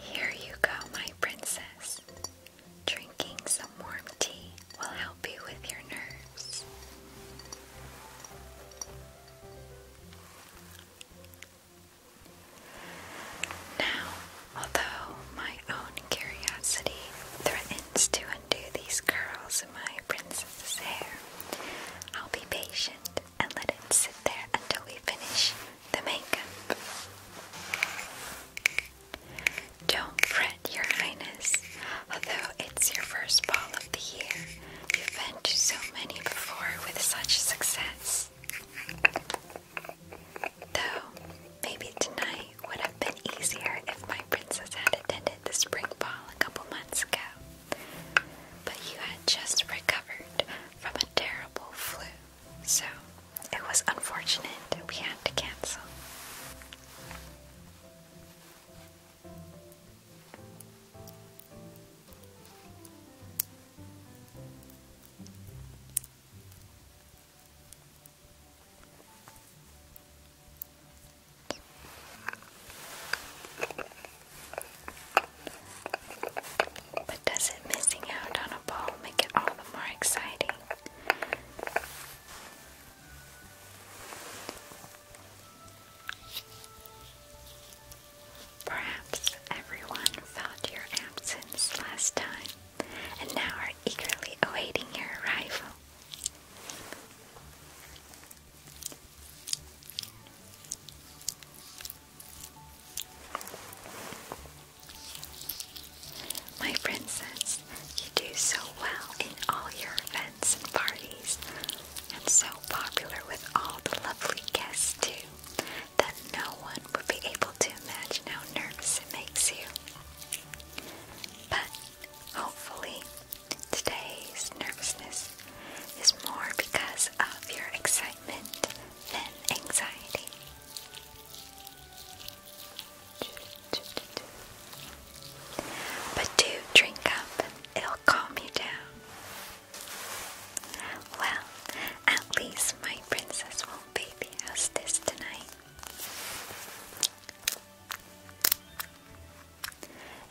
Here you go, my princess. Drinking some warm tea will help you with your nerves. Now, although my own curiosity threatens to undo these curls in my princess's hair, I'll be patient and let it sit there until we finish the makeup. Don't fret, Your Highness. Although it's your first ball of the year, you've been to so many before with such success. Though, maybe tonight would have been easier if my princess had attended the spring ball a couple months ago. But you had just recovered from a terrible flu, so it was unfortunate we had to cancel. But does it missing out on a ball make it all the more exciting? Perhaps everyone felt your absence last time and now are eagerly awaiting your arrival. My friend says you do so well in all your events and parties, and so popular with all the lovely guests too, that no one would be able to imagine how nervous it makes you. But hopefully, today's nervousness is more because of your excitement than anxiety. But do drink up, it'll calm you down. Well, at least my princess won't baby house this tonight.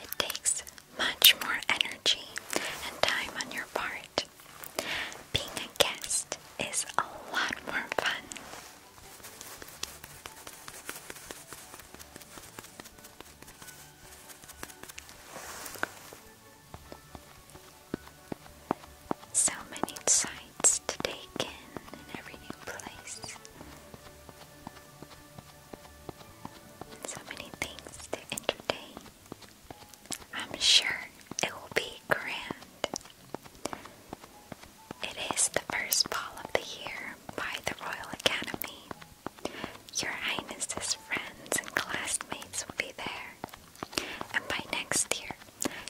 It takes much more energy and time on your part. Being a guest is a lot more fun. So many sights to take in in every new place. So many things to entertain. I'm sure it will be grand. It is the first ball of the year by the Royal Academy. Your Highness's friends and classmates will be there, and by next year,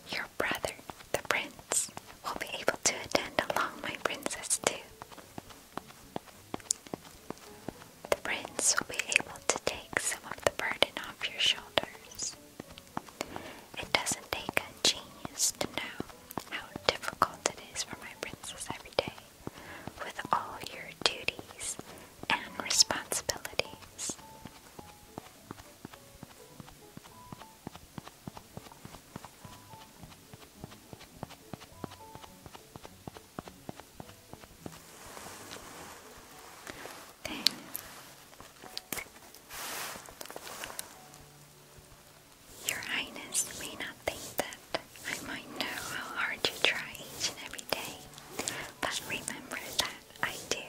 your brother, the Prince, will be able to attend along my princess too. The Prince will be able to take some of the burden off your shoulders. It doesn't take a genius to know how difficult it is for my princess every day, with all your duties and responsibilities. Then your Highness may not think that I might know how hard you try each and every day, but remember that I do.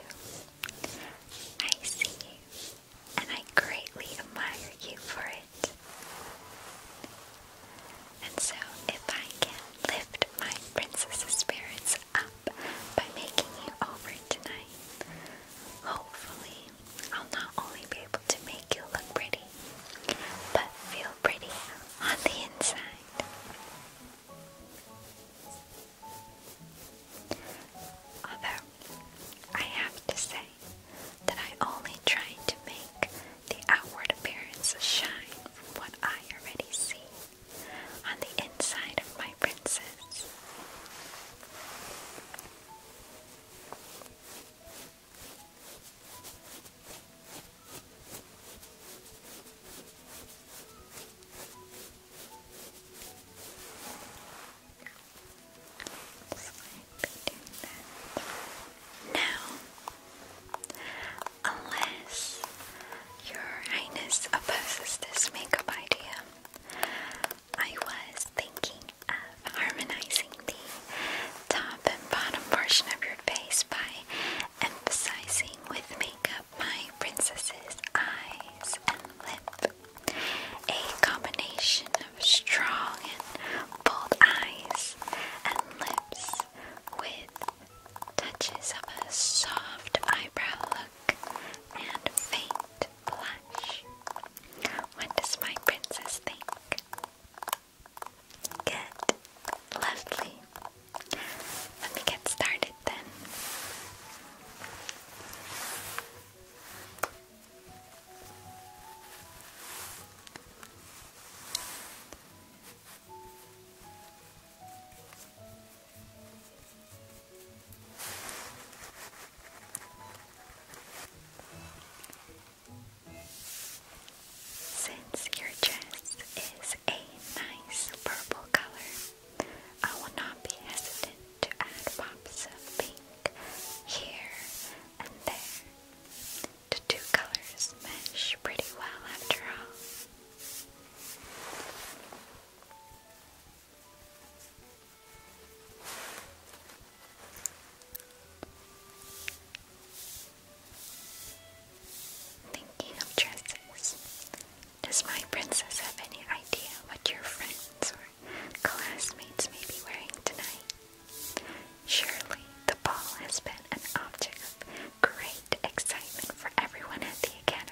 I see you, and I greatly admire you for it. And so, if I can lift my princess's spirits up by making you over tonight, hopefully I'll not only be able to make you look pretty, but feel pretty on the inside. Although, I have to say that I only try to make the outward appearance shine from what I already see on the inside of my princess. Now, unless your highness opposes this makeup idea, I was thinking of harmonizing the top and bottom portion of your face by emphasizing with makeup my princess's eyes and lip. A combination of strong and bold eyes and lips with touches of a soft eyebrow look and faint blush. What does my princess think? Good. Lovely. Let me get started then. Since your dress is a nice purple color, I will not be hesitant to add pops of pink here and there. The two colors mesh pretty well after all. Thinking of dresses. Does my princess have any idea what your friends or classmates may be wearing tonight? Surely the ball has been an object of great excitement for everyone at the academy.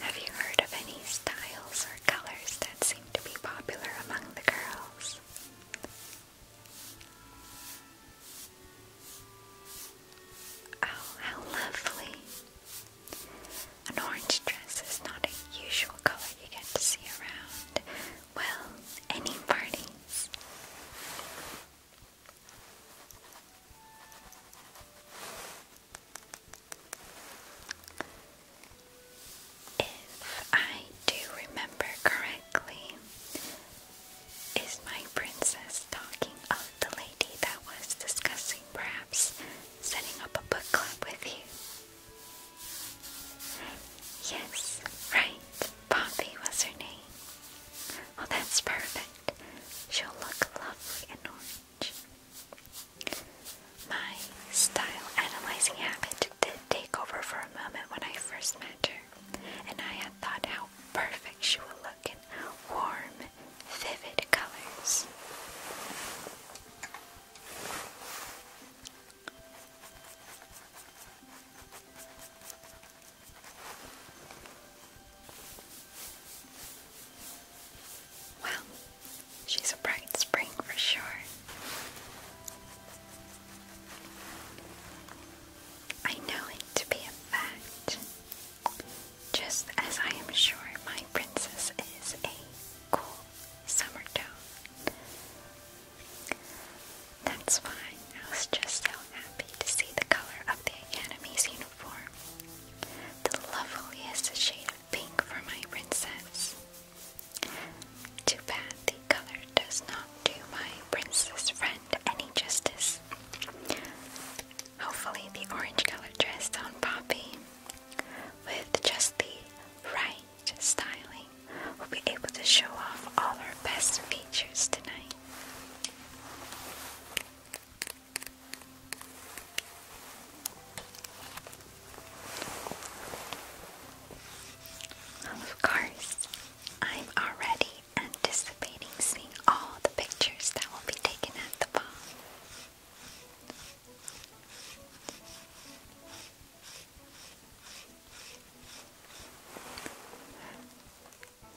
Have you heard of any styles or colors that seem to be popular among the girls? Oh, how lovely! An orange dress is not a usual color you get to see around, well, any parties. If I do remember correctly, is my princess talking of the lady that was discussing perhaps setting up a book club with you? Yes, right. Poppy was her name. Oh, that's perfect. She'll look lovely in orange. My style analyzing habit did take over for a moment when I first met her, and I had thought how perfect she would look in warm, vivid colors. Well, she's a bright spring for sure. I know it to be a fact, just as I am sure my princess is a cool summer tone. That's fine, I was just happy to see the color of the Academy's uniform. The loveliest shade of pink for my princess. Too bad the color does not do my princess friend any justice. Hopefully the orange colored dress on Poppy, with just the right styling, will be able to show off all her best features tonight. Of course, I'm already anticipating seeing all the pictures that will be taken at the ball.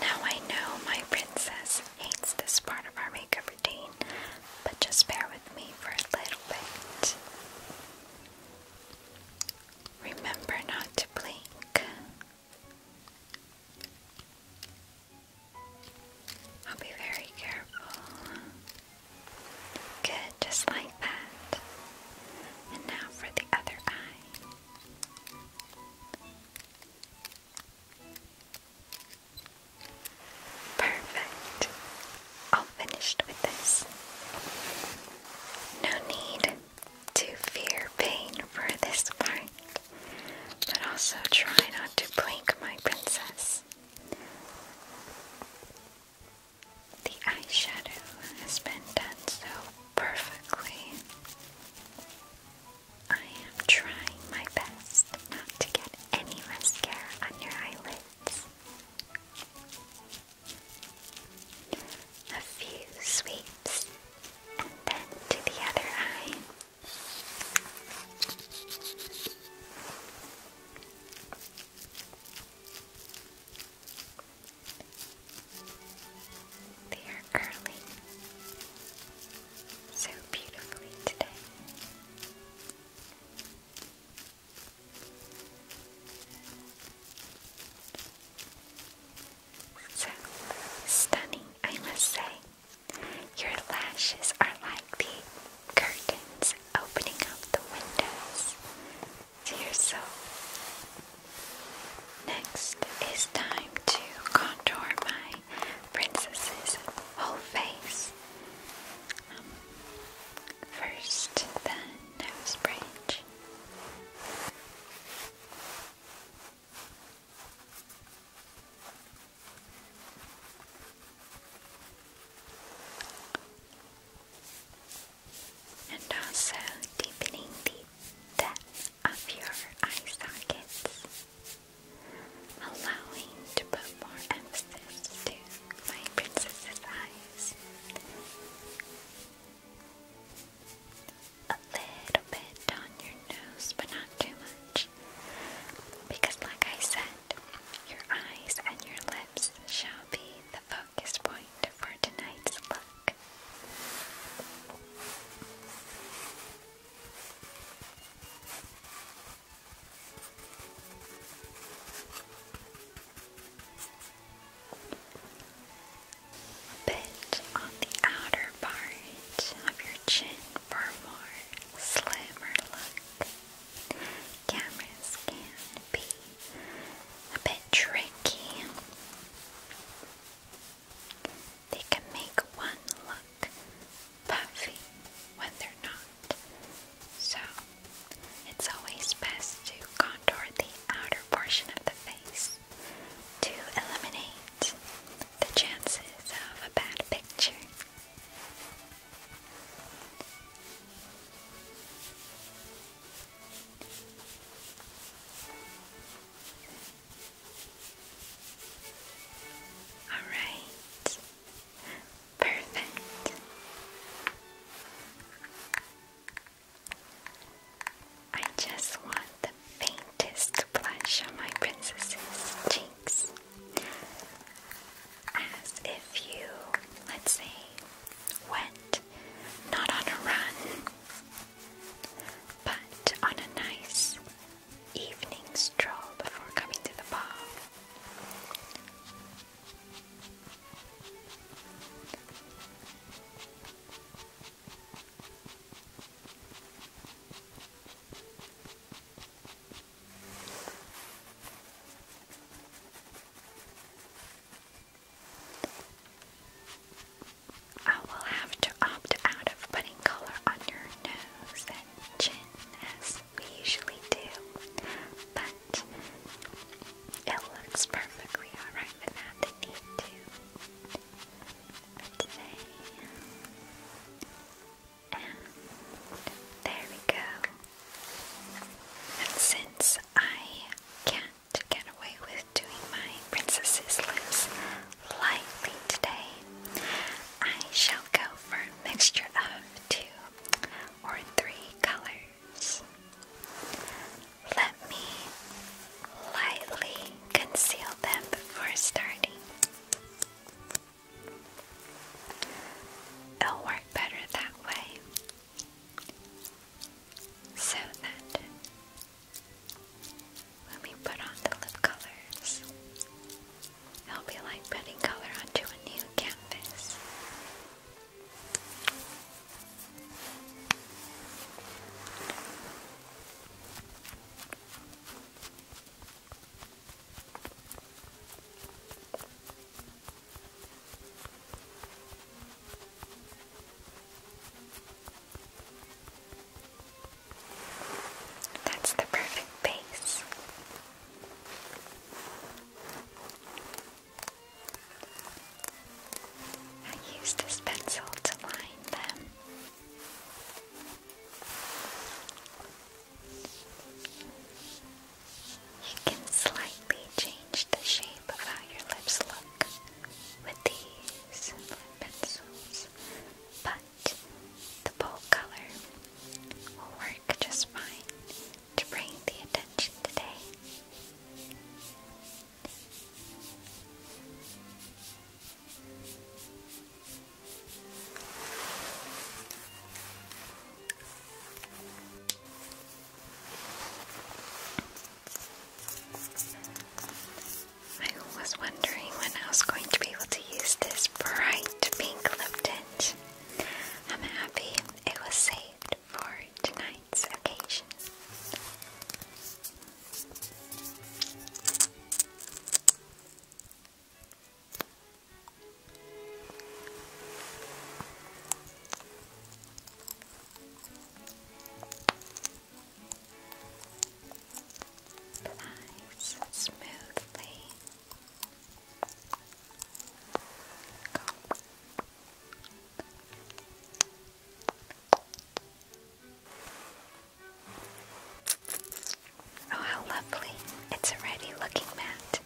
Now I know my princess hates this part of our makeup routine, but just bear with me for a little bit. Remember not to blink. I'll be very careful. Good, just like that. And now for the other eye. Perfect. All finished with this. No need to fear pain for this part, but also try not to blink, my princess. The eyeshadow has been done so perfectly. I am trying my best not to get any mascara on your eyelids. A few sweeps and then to the other eye. They are curling so beautifully today. So stunning, I must say. Your lashes are like the curtains opening up the windows to your soul. Next, is time to contour my princess's whole face. Um, first, the nose bridge. And also deepening the depth of your eye sockets, allowing to put more emphasis to my princess's eyes. A little bit on your nose, but not too much. Because, like I said, your eyes and your lips shall be the focus point for tonight's look back. A bit on the outer part of your chin for a more slimmer look. Cameras can be a bit tricky. They can make one look puffy when they're not. So, it's always best to contour the outer portion of the face to eliminate the chances of a bad picture. All right. Perfect. I just want the faintest blush on my princess's cheeks. As if you, let's say, went not on a run, but on a nice evening stroll before coming to the pub, I will have to opt out of putting color on your nose and chin as we usually do, but it looks perfectly alright without the need and there we go. And since I can to get away with doing my princesses lips lightly today, I shall go for a mixture of two or three colors. Let me lightly conceal them before starting. It'll work better that way so that when we put on the lip colors, it'll be like putting color onto a new canvas. That's the perfect base. I used this pencil to line them. You can slightly change the shape of how your lips look with these pencils, but the bold color will work just fine to bring the attention today. I was wondering when I was going to be able to use this bright pink lip tint. I'm happy it was saved for tonight's occasion. Oh, how lovely! It's already looking matte.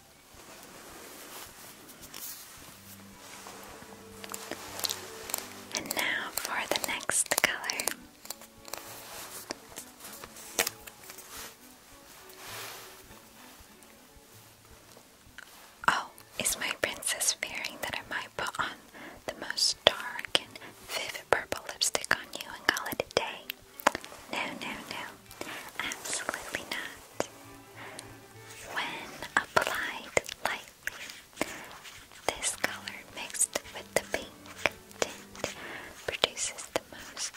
And now for the next color. Oh, is my princess fearing that I might put on the most dark and vivid purple lipstick on you and call it a day? No, no, no. Absolutely not. When applied like this color mixed with the pink tint produces the most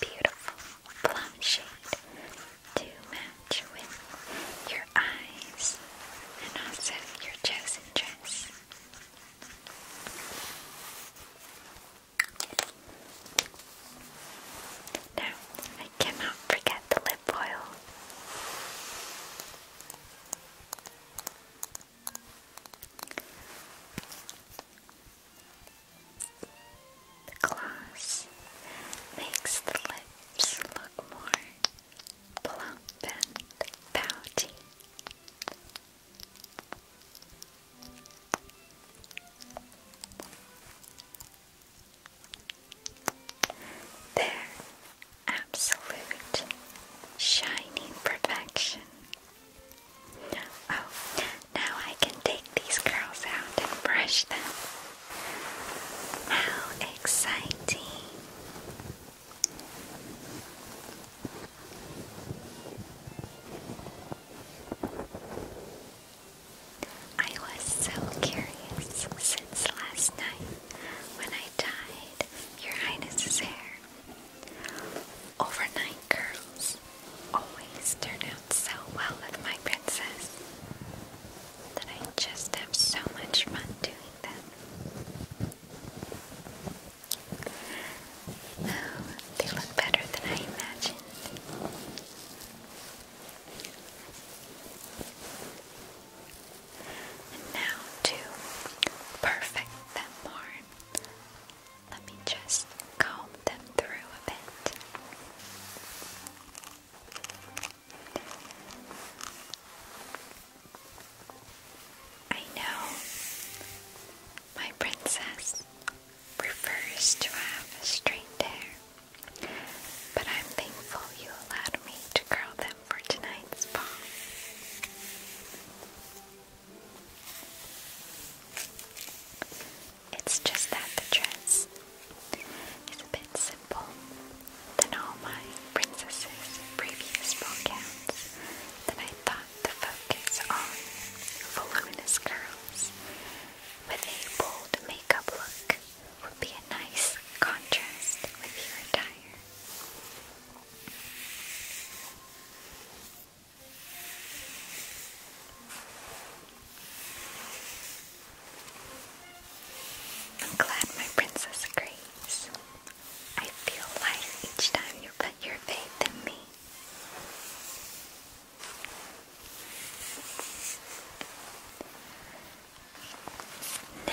beautiful plum shade to match with your eyes and also your chosen dress. Now, I cannot forget the lip oil. The gloss makes the lips look more plump and pouty. There, absolute shining perfection. Oh, now I can take these curls out and brush them. How exciting! I was so curious, since last night when I dyed your highness's hair. Overnight curls always turn out so well with my princess that I just have so much fun doing them. Oh, they look better than I imagined now to perfect them more, let me just comb them through a bit. I know my princess prefers to have straight hair, but I'm thankful you allowed me to curl for tonight's spa. It's just that the dress is a bit simple than all my princesses' previous ballgowns that I thought the focus on voluminous curls with a bold makeup look would be a nice contrast with your attire. I'm glad my princess agrees. I feel lighter each time you put your faith in me. Now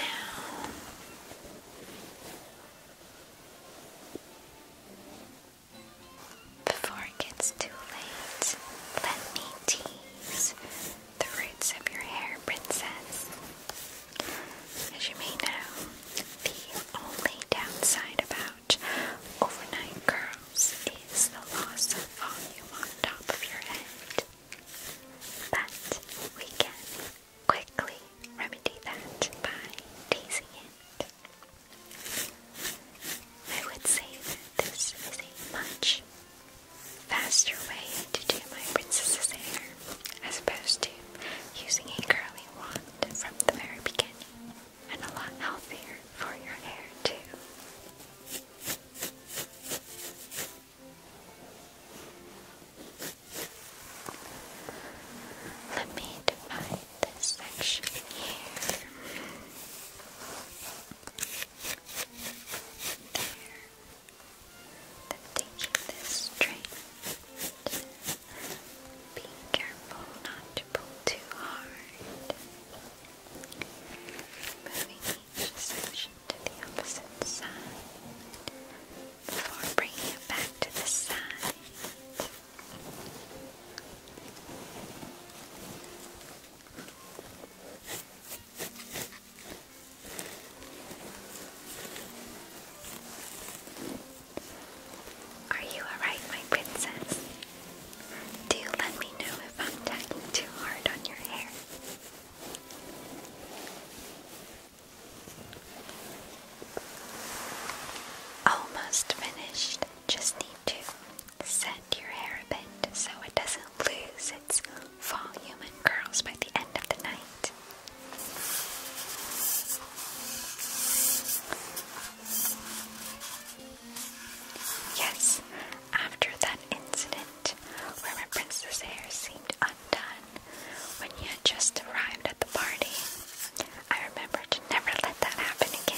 before it gets too late, let me tease the roots of your hair, princess. As you may know, the only downside about overnight curls is the loss of volume on top of your head. But we can quickly remedy that by tasing it. I would say that this is a much faster way to do my princess's hair as opposed to using a curling wand from the very beginning and a lot healthier for your hair too. Let me divide this section here. There. taking this straight. Be careful not to pull too hard. Moving each section to the opposite side before bringing it back to the side. Are you alright, my princess? Do let me know if I'm tugging too hard on your hair. Almost finished. Just need to set your hair a bit so it doesn't lose its volume and curls by the end of the night. Yes, after that incident, where my princess hair seemed undone when you had just arrived at the party, I remember to never let that happen again.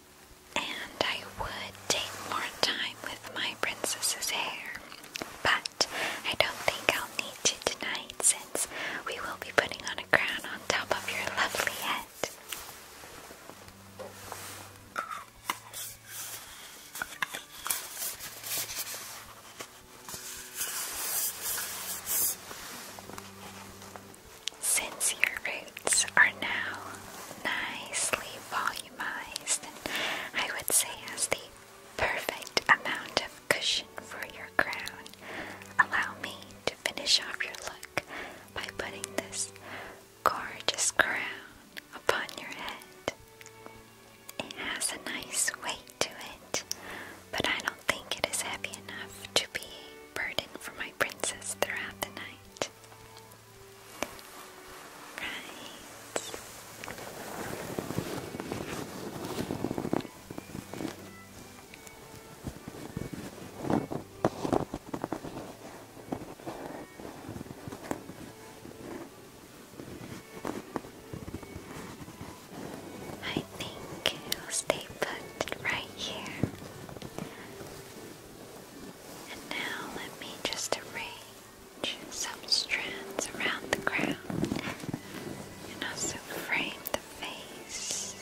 and I would take more time with my princess's hair, but I don't think I'll need to tonight since we will be putting on a crown on top of your lovely head. Since your roots are now nicely volume and I would say has the perfect amount of cushion for your crown. Allow me to finish off your look by putting this gorgeous crown upon your head. It has a nice weight to it, but I don't think it is heavy enough to be a burden for my princess throughout the night. I think I'll stay put right here. And now let me just arrange some strands around the crown and also frame the face.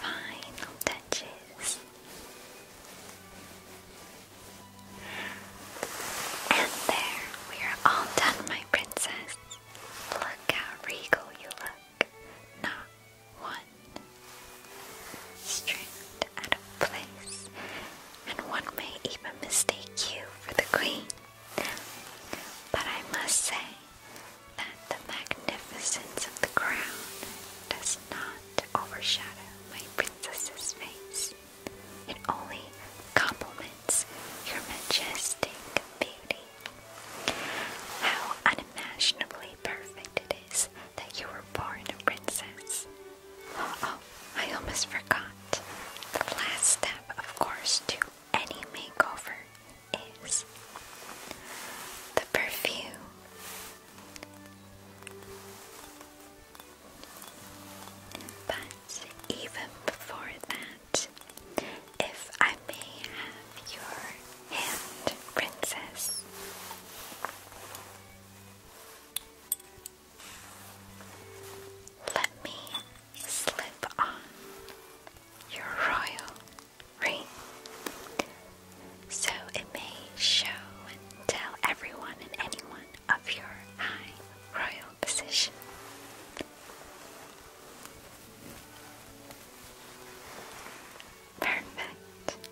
Final touches. And there, we are all done, my princess. Look how regal you look not one, stripped out of place, and one may even mistake you for the queen. But I must say that the magnificence of the crown does not overshadow my princess's face. It only complements your majestic beauty. How unimaginably perfect it is that you were born a princess. Oh, I almost forgot. The last step, of course, to any makeover is the perfume. But even before that, if I may have your hand, Princess. Let me slip on your royal ring so it may show and tell everyone and anyone of your high royal position. Perfect.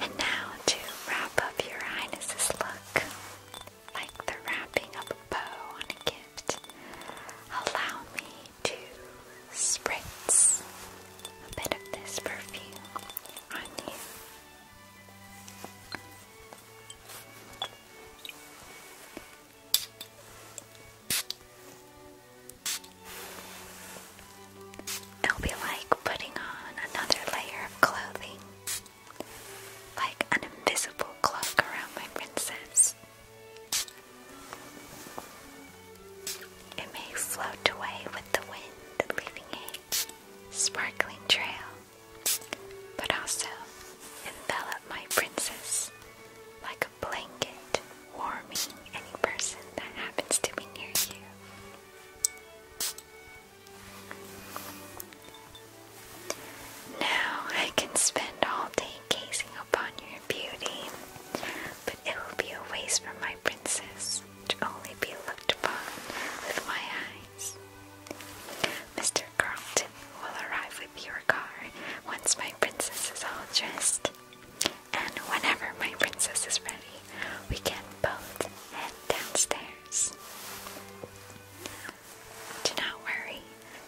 And now to wrap up your highness's look, like the wrapping of a bow on a gift, allow me to spritz a bit of this perfume on you. It'll be like putting on another layer of clothing, like an invisible cloak around my princess. It may float away with the wind, leaving a sparkling trail, but also envelop my princess like blanket warming any person that happens to be near you. Now I can spend all day gazing upon your beauty, but it will be a waste for my princess to only be looked upon with my eyes. Mr. Carlton will arrive with your car once my princess is all dressed and whenever my princess is ready, we can both head downstairs. Do not worry,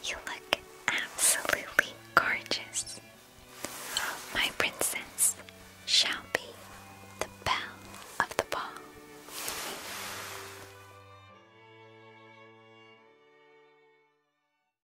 you look absolutely gorgeous. My princess shall be the belle of the ball.